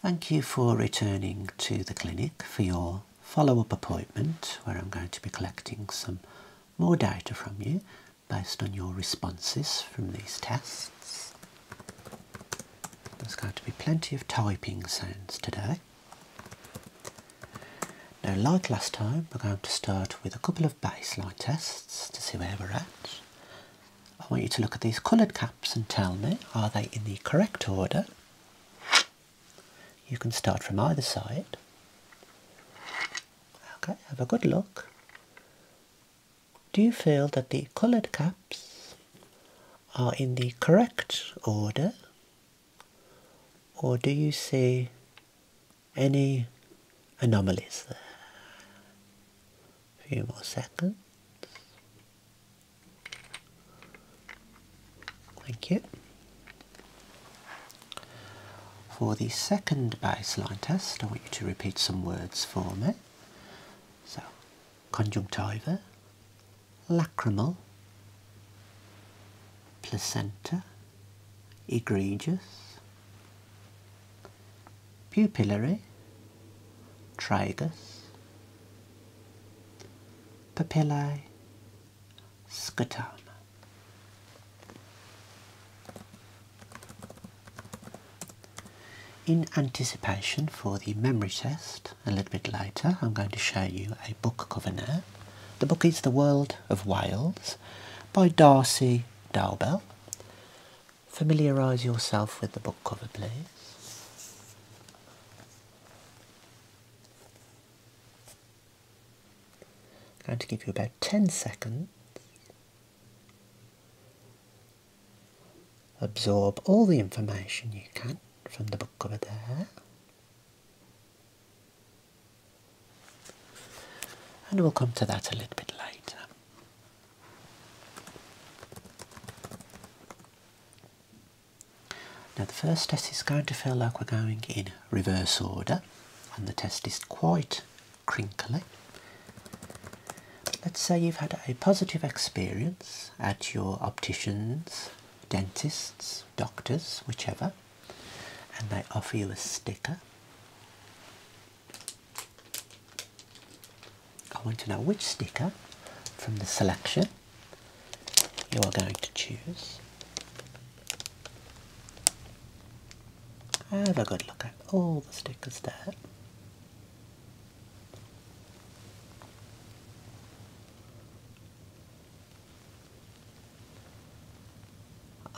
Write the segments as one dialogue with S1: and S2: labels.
S1: Thank you for returning to the clinic for your follow-up appointment where I'm going to be collecting some more data from you based on your responses from these tests. There's going to be plenty of typing sounds today. Now like last time we're going to start with a couple of baseline tests to see where we're at I want you to look at these coloured caps and tell me are they in the correct order? You can start from either side. Okay, have a good look. Do you feel that the coloured caps are in the correct order? Or do you see any anomalies there? A few more seconds. Thank you. For the second baseline test, I want you to repeat some words for me. So, conjunctiva, lacrimal, placenta, egregious, pupillary, tragus, papillae, Scutum. In anticipation for the memory test a little bit later, I'm going to show you a book cover now. The book is The World of Wales by Darcy Dowbell, familiarise yourself with the book cover, please. I'm going to give you about 10 seconds. Absorb all the information you can from the book cover there. And we'll come to that a little bit later. Now the first test is going to feel like we're going in reverse order and the test is quite crinkly. Let's say you've had a positive experience at your opticians, dentists, doctors, whichever, and they offer you a sticker. I want to know which sticker from the selection you are going to choose. Have a good look at all the stickers there.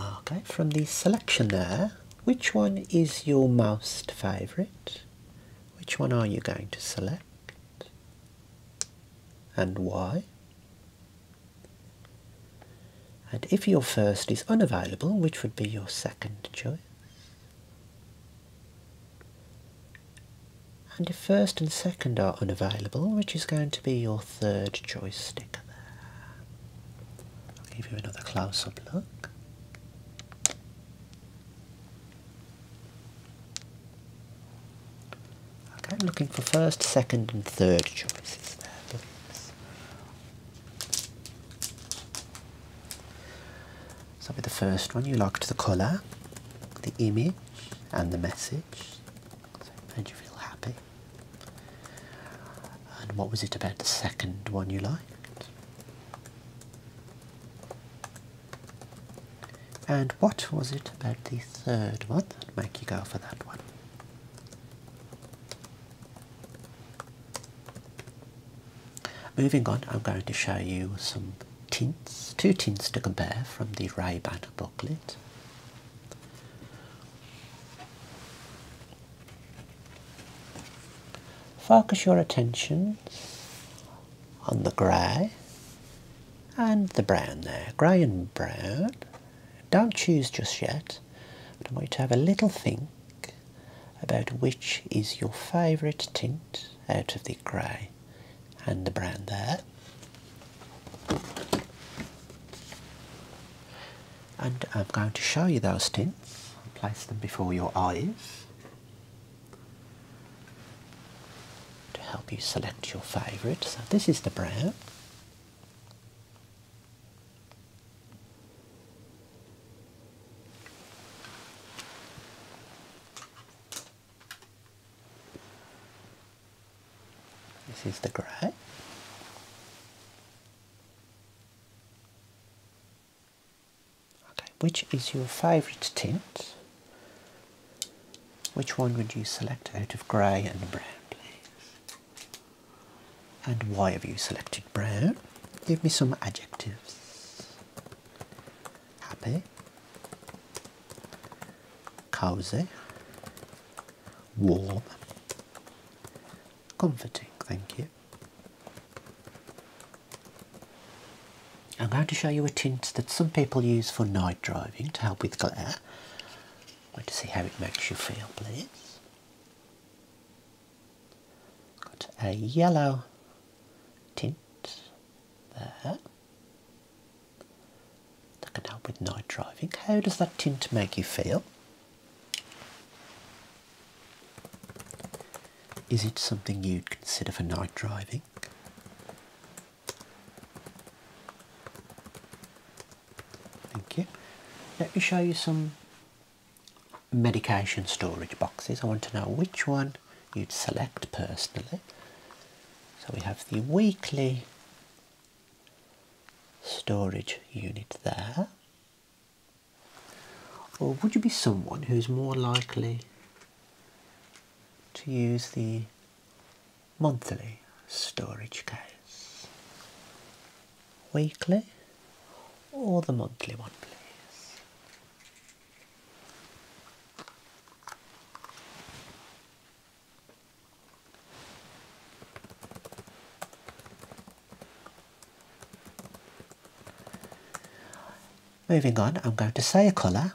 S1: Okay, from the selection there, which one is your most favourite? Which one are you going to select? And why? And if your first is unavailable, which would be your second choice? And if first and second are unavailable, which is going to be your third choice I'll give you another close-up look. Okay, looking for first, second and third choices there. So with the first one you liked the colour, the image and the message. So it made you feel happy. And what was it about the second one you liked? And what was it about the third one that made you go for that one? Moving on, I'm going to show you some tints, two tints to compare from the Ray-Ban booklet. Focus your attention on the grey and the brown there, grey and brown. Don't choose just yet, I want you to have a little think about which is your favourite tint out of the grey and the brown there. And I'm going to show you those tints. I'll place them before your eyes to help you select your favorite. So this is the brown. This is the grey. Okay, which is your favourite tint? Which one would you select out of grey and brown, please? And why have you selected brown? Give me some adjectives. Happy, cozy, warm, comforting, thank you. I'm going to show you a tint that some people use for night driving to help with glare. I'm to see how it makes you feel, please. Got a yellow tint there. That can help with night driving. How does that tint make you feel? Is it something you'd consider for night driving? Thank you. Let me show you some medication storage boxes. I want to know which one you'd select personally. So we have the weekly storage unit there. Or would you be someone who's more likely to use the monthly storage case? Weekly or the monthly one, please? Moving on, I'm going to say a colour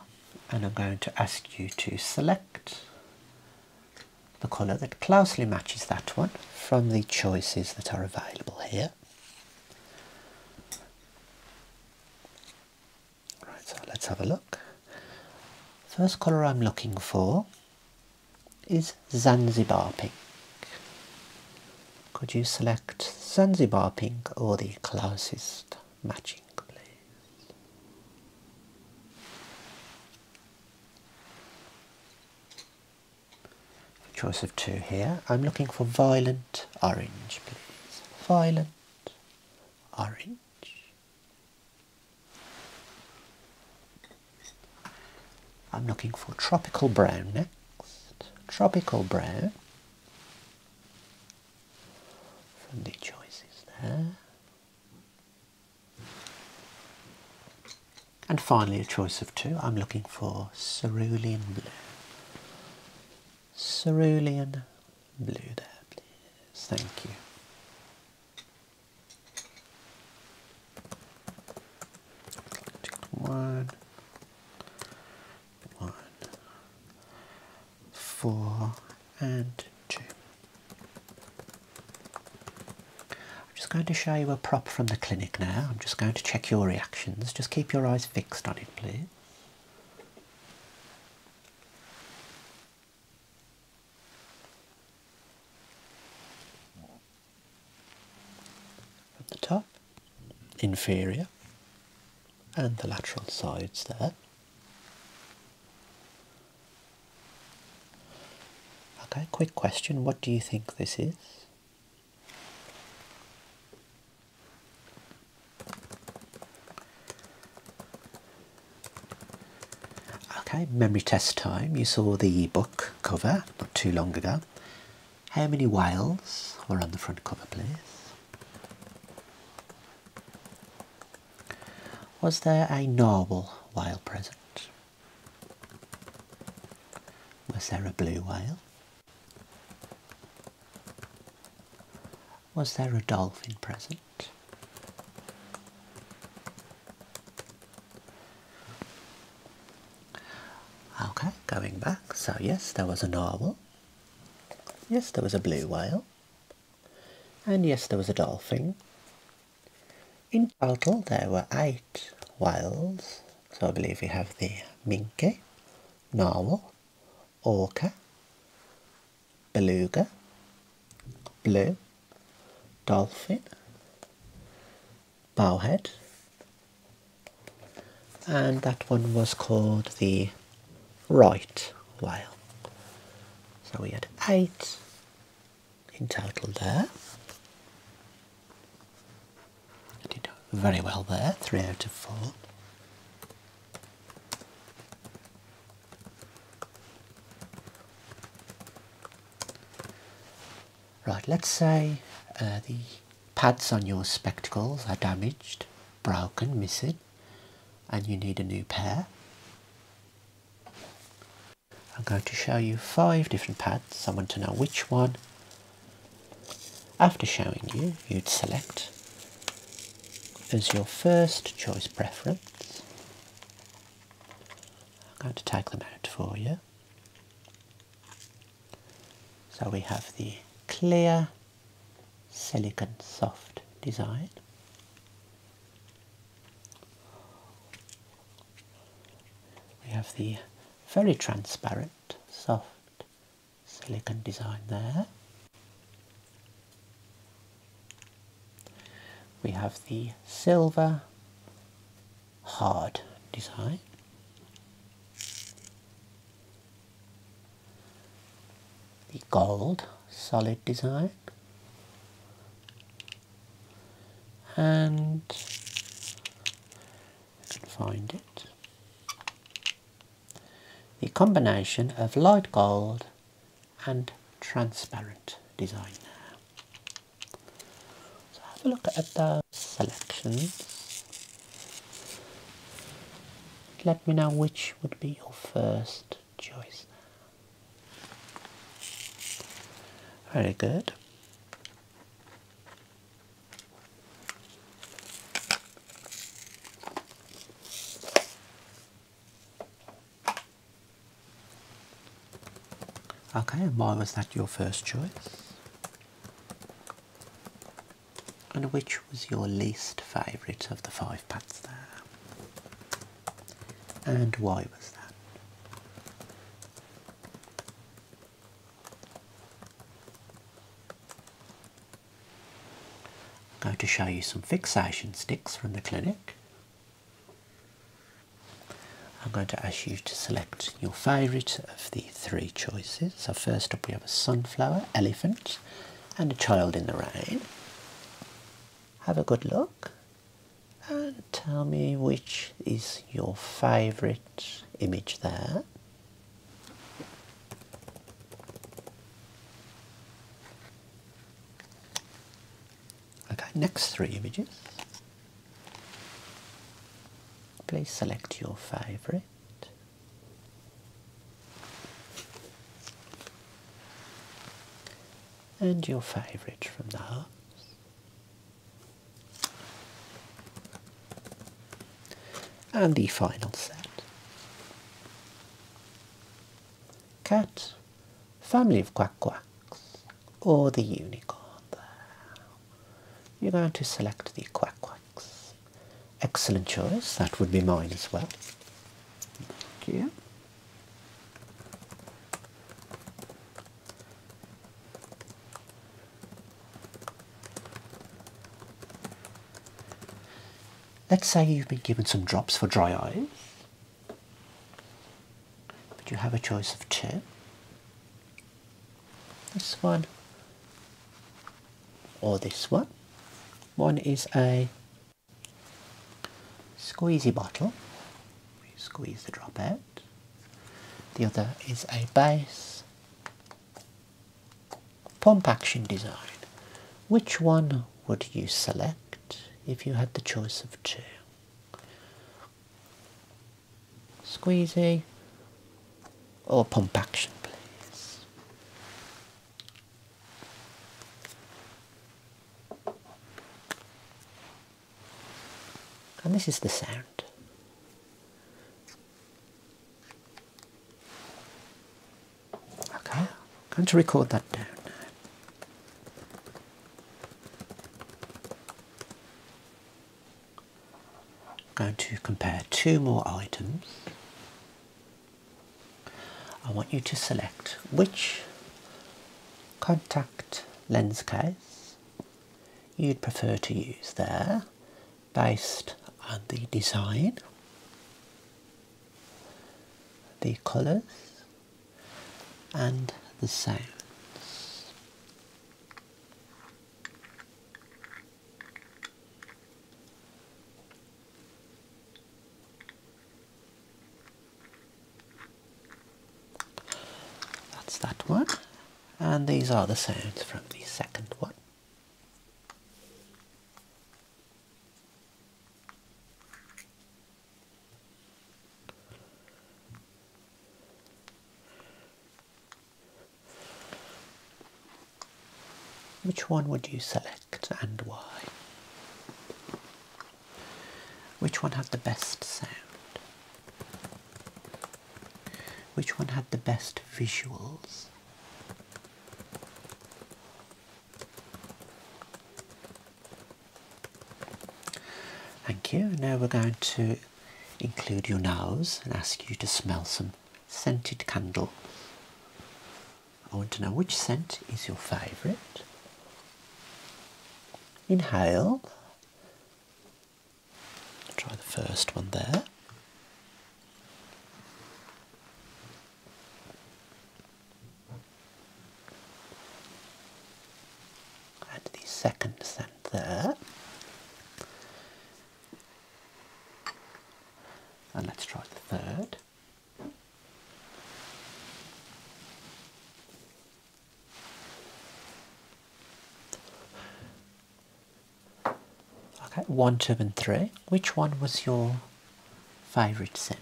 S1: and I'm going to ask you to select the colour that closely matches that one from the choices that are available here. Right, so let's have a look. First colour I'm looking for is Zanzibar pink. Could you select Zanzibar pink or the closest matching, please? choice of two here. I'm looking for violent orange, please. Violent orange. I'm looking for tropical brown next. Tropical brown from the choices there. And finally, a choice of two. I'm looking for cerulean blue. Cerulean blue there, please. Thank you one, one, four, and two. I'm just going to show you a prop from the clinic now. I'm just going to check your reactions. Just keep your eyes fixed on it, please. From the top, inferior, and the lateral sides there. Okay, quick question. What do you think this is? Okay, memory test time. You saw the book cover not too long ago how many whales were on the front cover, please? Was there a narwhal whale present? Was there a blue whale? Was there a dolphin present? Okay, going back. So, yes, there was a narwhal. Yes, there was a blue whale. And yes, there was a dolphin. In total, there were eight whales. So, I believe we have the minke, narwhal, orca, beluga, blue, dolphin, Bowhead, and that one was called the right whale so we had eight in total there did very well there three out of four Right, let's say uh, the pads on your spectacles are damaged, broken, missing, and you need a new pair. I'm going to show you five different pads. I want to know which one. After showing you, you'd select as your first choice preference. I'm going to take them out for you. So we have the clear silicon soft design. We have the very transparent soft silicon design there. We have the silver hard design. The gold solid design and I can find it. The combination of light gold and transparent design so have a look at the selections. Let me know which would be your first choice. Very good. Okay, why was that your first choice? And which was your least favourite of the five pads there? And why was that? I'm going to show you some fixation sticks from the clinic. I'm going to ask you to select your favourite of the three choices. So first up we have a sunflower, elephant and a child in the rain. Have a good look and tell me which is your favourite image there. Okay, next three images. Please select your favorite. And your favorite from the hearts. And the final set. Cat, family of quack quacks, or the unicorn there. You're going to select the quack quacks. Excellent choice, that would be mine as well. Thank Let's say you've been given some drops for dry eyes but you have a choice of two. This one or this one. One is a squeezy bottle, you squeeze the drop out. The other is a base pump action design. Which one would you select if you had the choice of two? squeezy, or pump action, please. And this is the sound. Okay, I'm going to record that down. now. I'm going to compare two more items. I want you to select which contact lens case you'd prefer to use there based on the design, the colours and the sounds. That's that one, and these are the sounds from the second one. Which one would you select and why? Which one had the best sound? Which one had the best visuals? Thank you. Now we're going to include your nose and ask you to smell some scented candle. I want to know which scent is your favourite. Inhale. Try the first one there. And the second scent there. And let's try the third. Okay, one, two, and three. Which one was your favourite scent?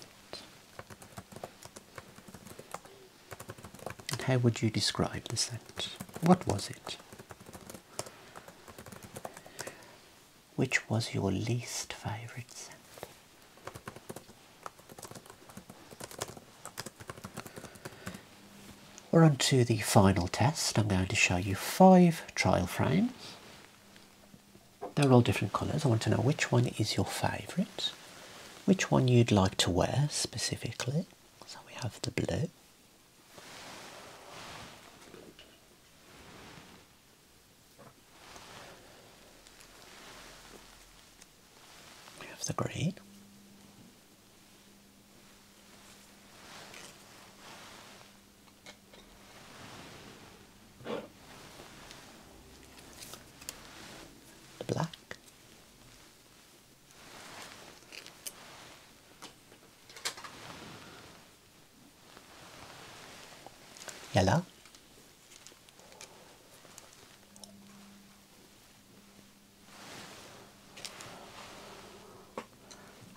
S1: And how would you describe the scent? What was it? Which was your least favourite scent? We're on to the final test. I'm going to show you five trial frames. They're all different colours. I want to know which one is your favourite which one you'd like to wear specifically. So we have the blue. We have the green. The black. Yellow.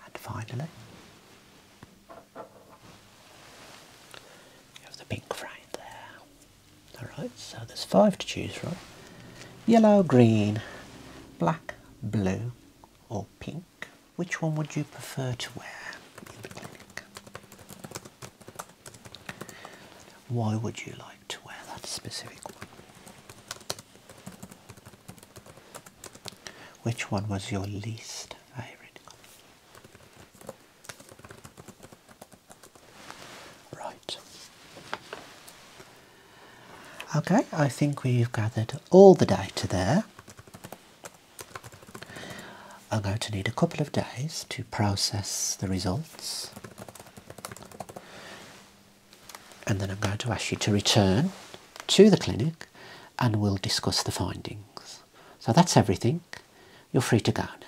S1: And finally, you have the pink frame there. Alright, so there's five to choose from. Yellow, green, black, blue or pink. Which one would you prefer to wear? Why would you like to wear that specific one? Which one was your least favourite? Right. Okay, I think we've gathered all the data there. I'm going to need a couple of days to process the results. And then I'm going to ask you to return to the clinic and we'll discuss the findings. So that's everything. You're free to go now.